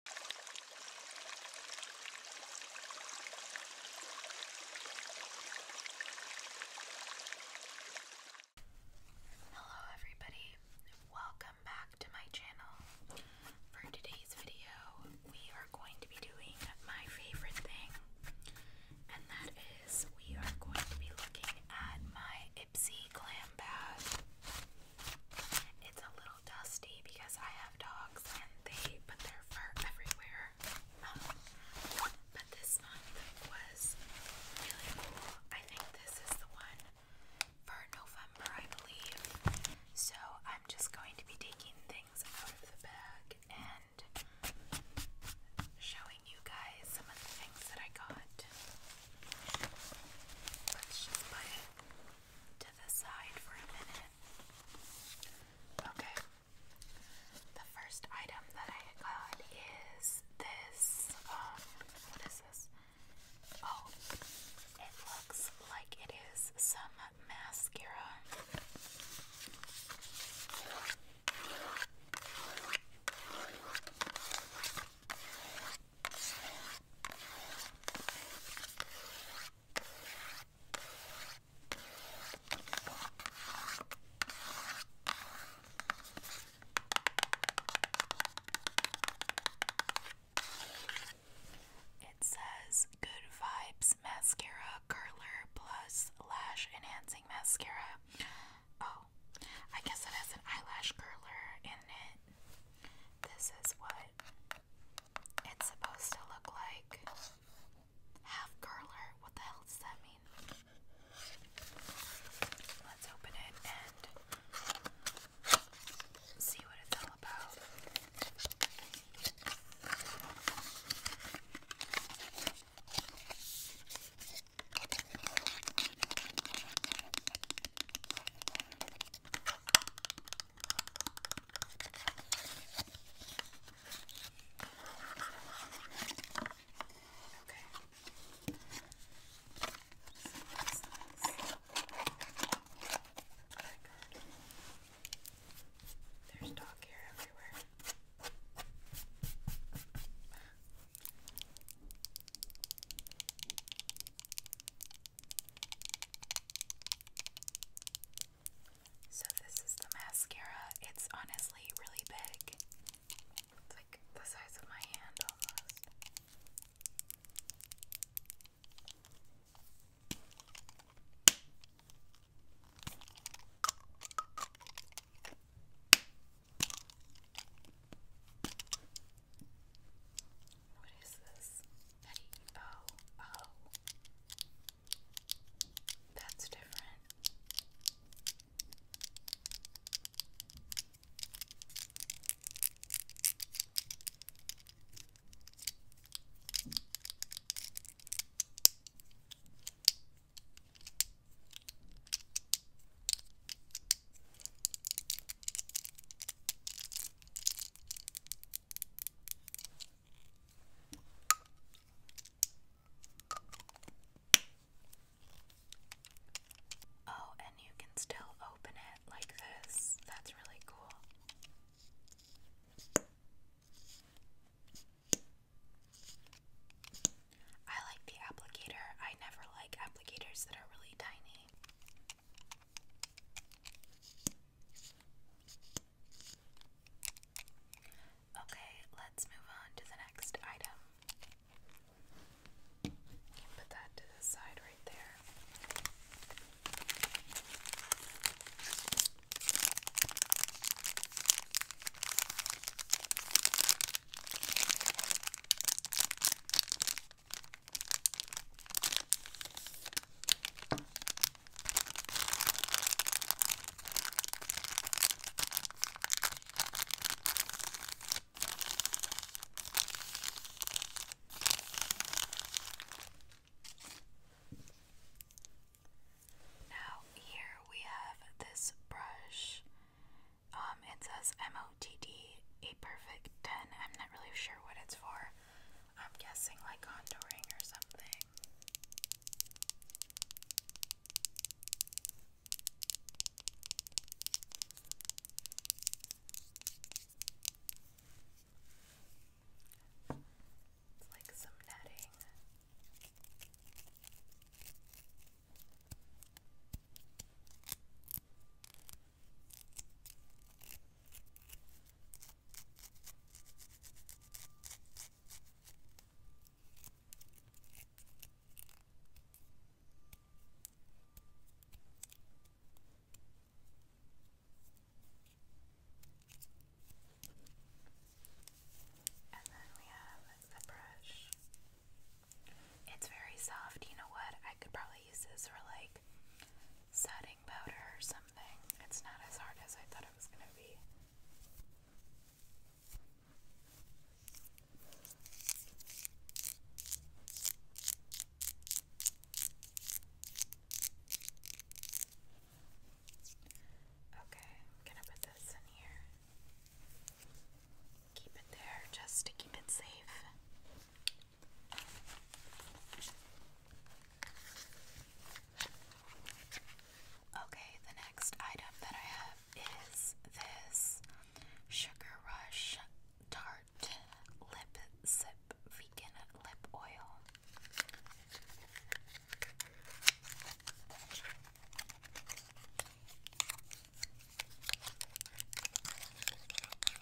Hello, everybody, welcome back to my channel. For today's video, we are going to be doing my favorite thing, and that is we are going to be looking at my Ipsy Glam Bath. It's a little dusty because I have dogs and they put their fur everywhere. Um, but this month was really cool. I think this is the one for November, I believe. So I'm just going to be taking things out of the bag and showing you guys some of the things that I got. Let's just it to the side for a minute. Okay. The first item that I got is this. Um, what is this? Oh, it looks like it is some mascara. It says Good Vibes Mascara Curler Plus Lash Enhancing Mascara. Oh, I guess it has an eyelash curler in it. This is what it's supposed to look like half curler. What the hell does that mean? Let's open it and see what it's all about. Okay. So what's this? Oh my God. There's dog hair everywhere. So this is the mascara. It's honestly really big. It's like the size of my hand almost. What is this? Petty. That's different. Oh, and you can still open it like this. That's really cool. I like the applicator. I never like applicators that are really tiny. Okay, let's move on to the next item. You put that to the side right there. Now, here we have this brush. Um, it says M O T D, a perfect 10. I'm not really sure what it's for. I'm guessing like contouring or something. It's like some netting. And then we have the brush. It's very soft. You know what? I could probably use this like setting powder or something. It's not as hard as I thought it was going to be. Okay, I'm gonna put this in here. Keep it there just to keep it safe. Okay, the next item that I have is this Sugar Rush Tart Lip Sip Vegan Lip Oil.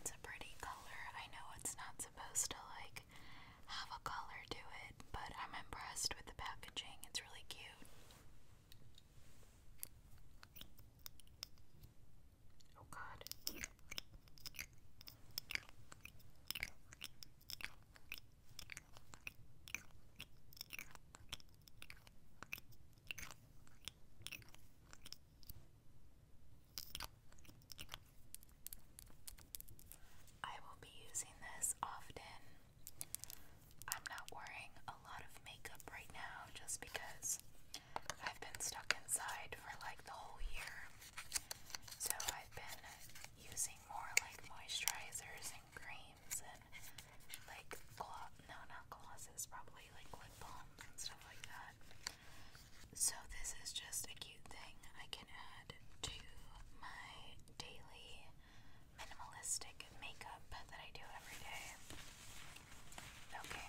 It's a pretty color. I know it's not supposed to like have a color to but I'm impressed with the packaging. It's really cute. Oh, God. I will be using this often I'm not wearing a lot of makeup right now just because I've been stuck inside for like the whole year. So I've been using more like moisturizers and creams and like gloss, no, glosses, probably like lip balms and stuff like that. So this is just a cute thing I can add to my daily minimalistic makeup that I do every day. Okay.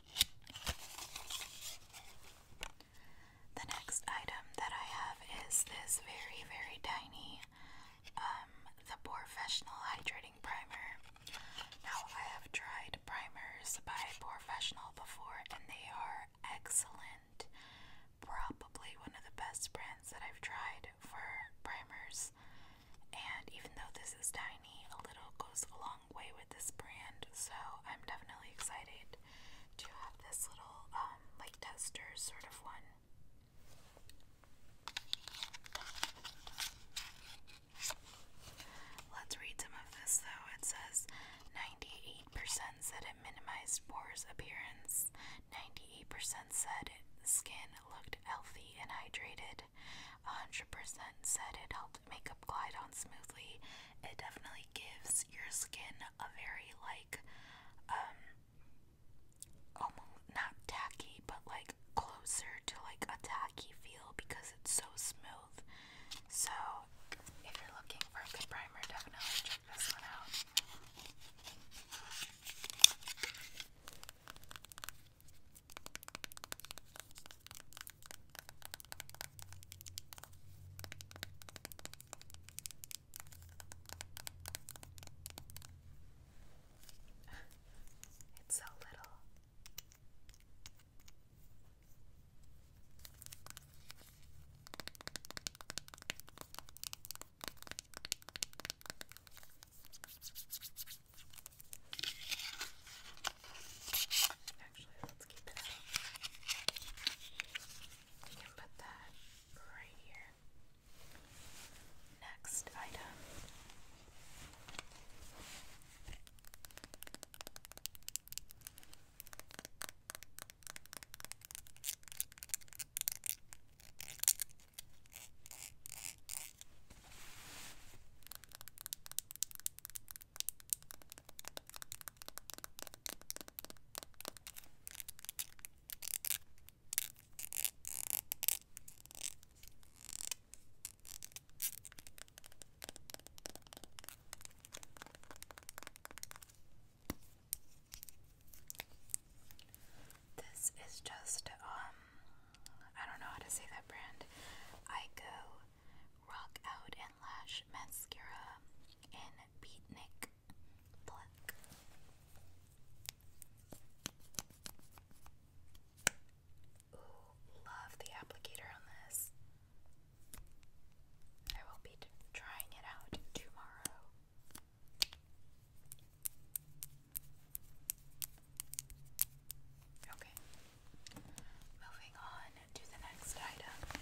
The next item that I have is this very, very tiny um, the Professional Hydrating Primer. Now, I have tried primers by Professional before, and they are excellent. Probably one of the best brands that I've tried for primers. And even though this is tiny, a little goes a long way with this brand, so I'm definitely excited to have this little um, like tester sort of one. Let's read some of this though. It says 98% said it minimized pores appearance, 98% said skin looked healthy and hydrated, 100% said it helped makeup glide on smoothly. It definitely gives your skin a very, like, um, almost not tacky, but like closer to like a tacky feel because it's so smooth. So, if you're looking for a good primer, definitely check this one out it's so little. Actually, let's keep it out. We can put that right here. Next item. This is just um I don't know how to say that brand. I go Rock Out and Lash Mascara in Beatnik Black. Ooh, love the applicator on this. I will be trying it out tomorrow. Okay, Moving on to the next item.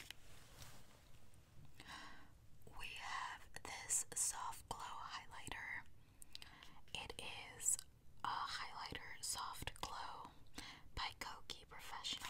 We have this soft glow highlighter. It is a highlighter soft glow by Koki Professional.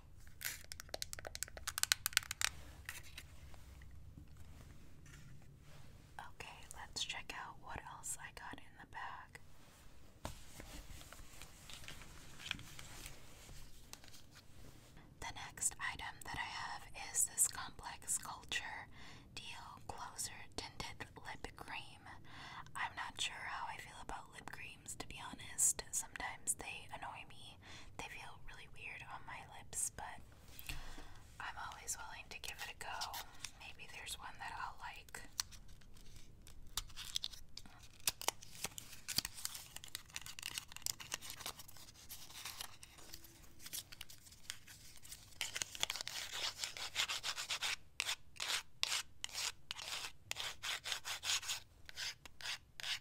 Okay, let's check out what else I got in the bag. The next item that I have is this Complex Culture Deal Closer Tinted Lip Cream. I'm not sure how I feel about lip creams, to be honest. Sometimes they annoy me, they feel really weird on my lips, but I'm always willing to give it a go. Maybe there's one that I'll like.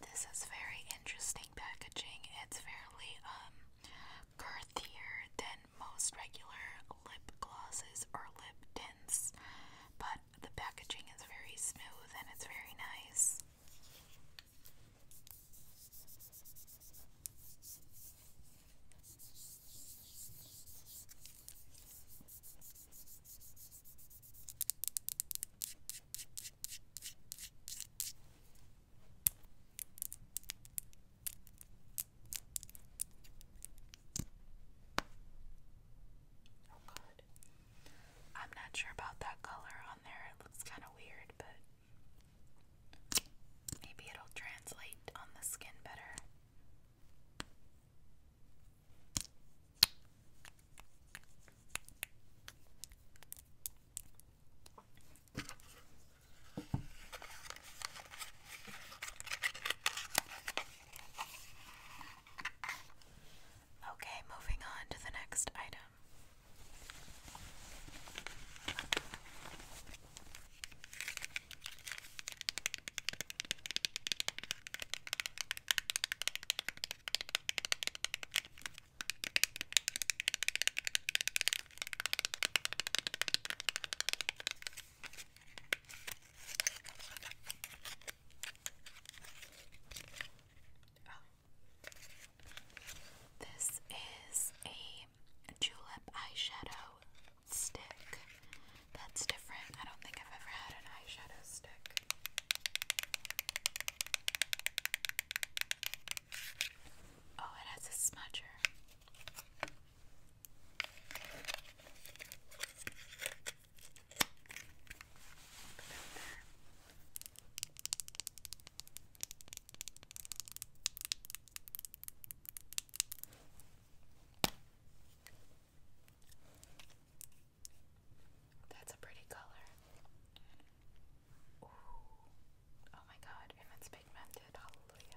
This is very interesting packaging. It's fairly um girthier than most regular lip glosses or lip tints, but the packaging is very smooth and it's very nice. Oh, God. I'm not sure about that color on there. It looks kind of weird, but maybe it'll translate on the skin better. Okay, moving on to the next item. Oh. This is a julep eyeshadow stick. That's different. I don't think I've ever had an eyeshadow stick. Oh, it has a smudger. That's a pretty color. Oh my god, and pigmented. Hallelujah.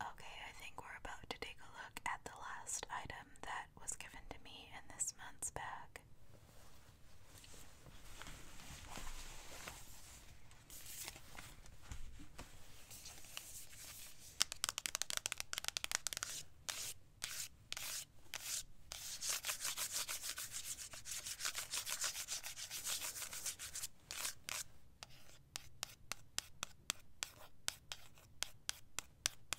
Okay, I think we're about to take a look at the last item that was given to me in this month's bag.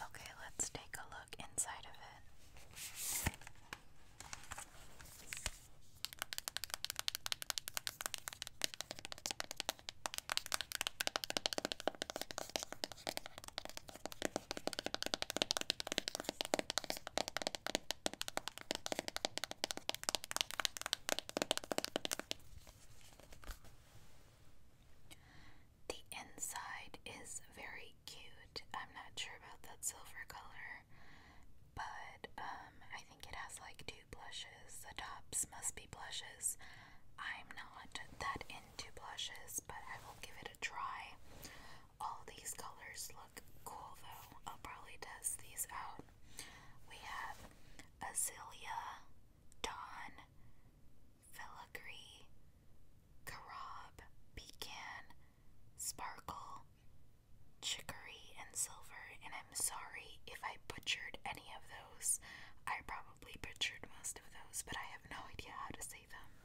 Okay, let's take a look inside of it. The inside is very cute. I'm not sure about that silver color, but um, I think it has like two blushes. The tops must be blushes. I'm not that into blushes, but I will give it a try. All these colors look cool though. I'll oh, probably test these out. We have Azilia, Dawn, Filigree, Carob, Pecan, Sparkle, Chicory, and Silver. And I'm sorry if I butchered any of those. I probably butchered most of those, but I have no idea how to say them.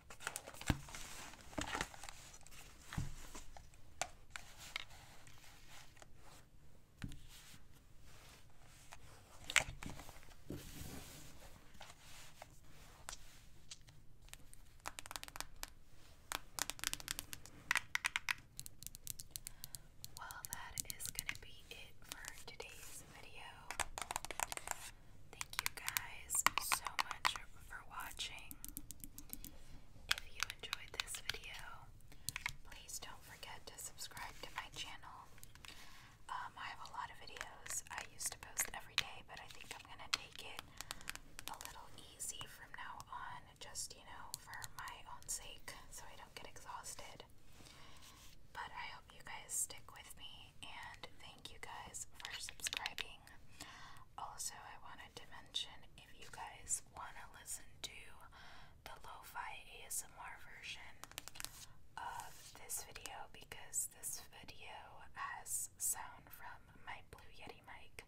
Well, that is going to be it for today's video. Thank you guys so much for watching. If you enjoyed this video, please don't forget to subscribe to my channel. Um, I have a lot of videos I used to post every day, but I think I'm gonna take it a little easy from now on, just you know, for my own sake, so I don't get exhausted. But I hope you guys stick with me, and thank you guys for subscribing. Also, I wanted to mention if you guys want to listen to the lo-fi ASMR version of this video because this video has sound from my Blue Yeti mic,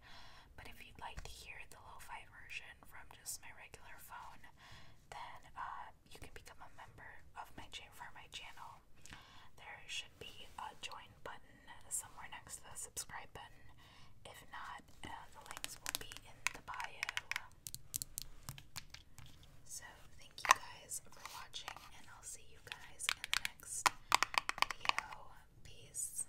but if you'd like to hear the lo-fi version from just my regular phone, then uh, you can become a member of my channel. There should be a join button somewhere next to the subscribe button. If not, uh, the links will be in the bio. So, thank you guys for watching, and I'll see you guys in the next video. Peace.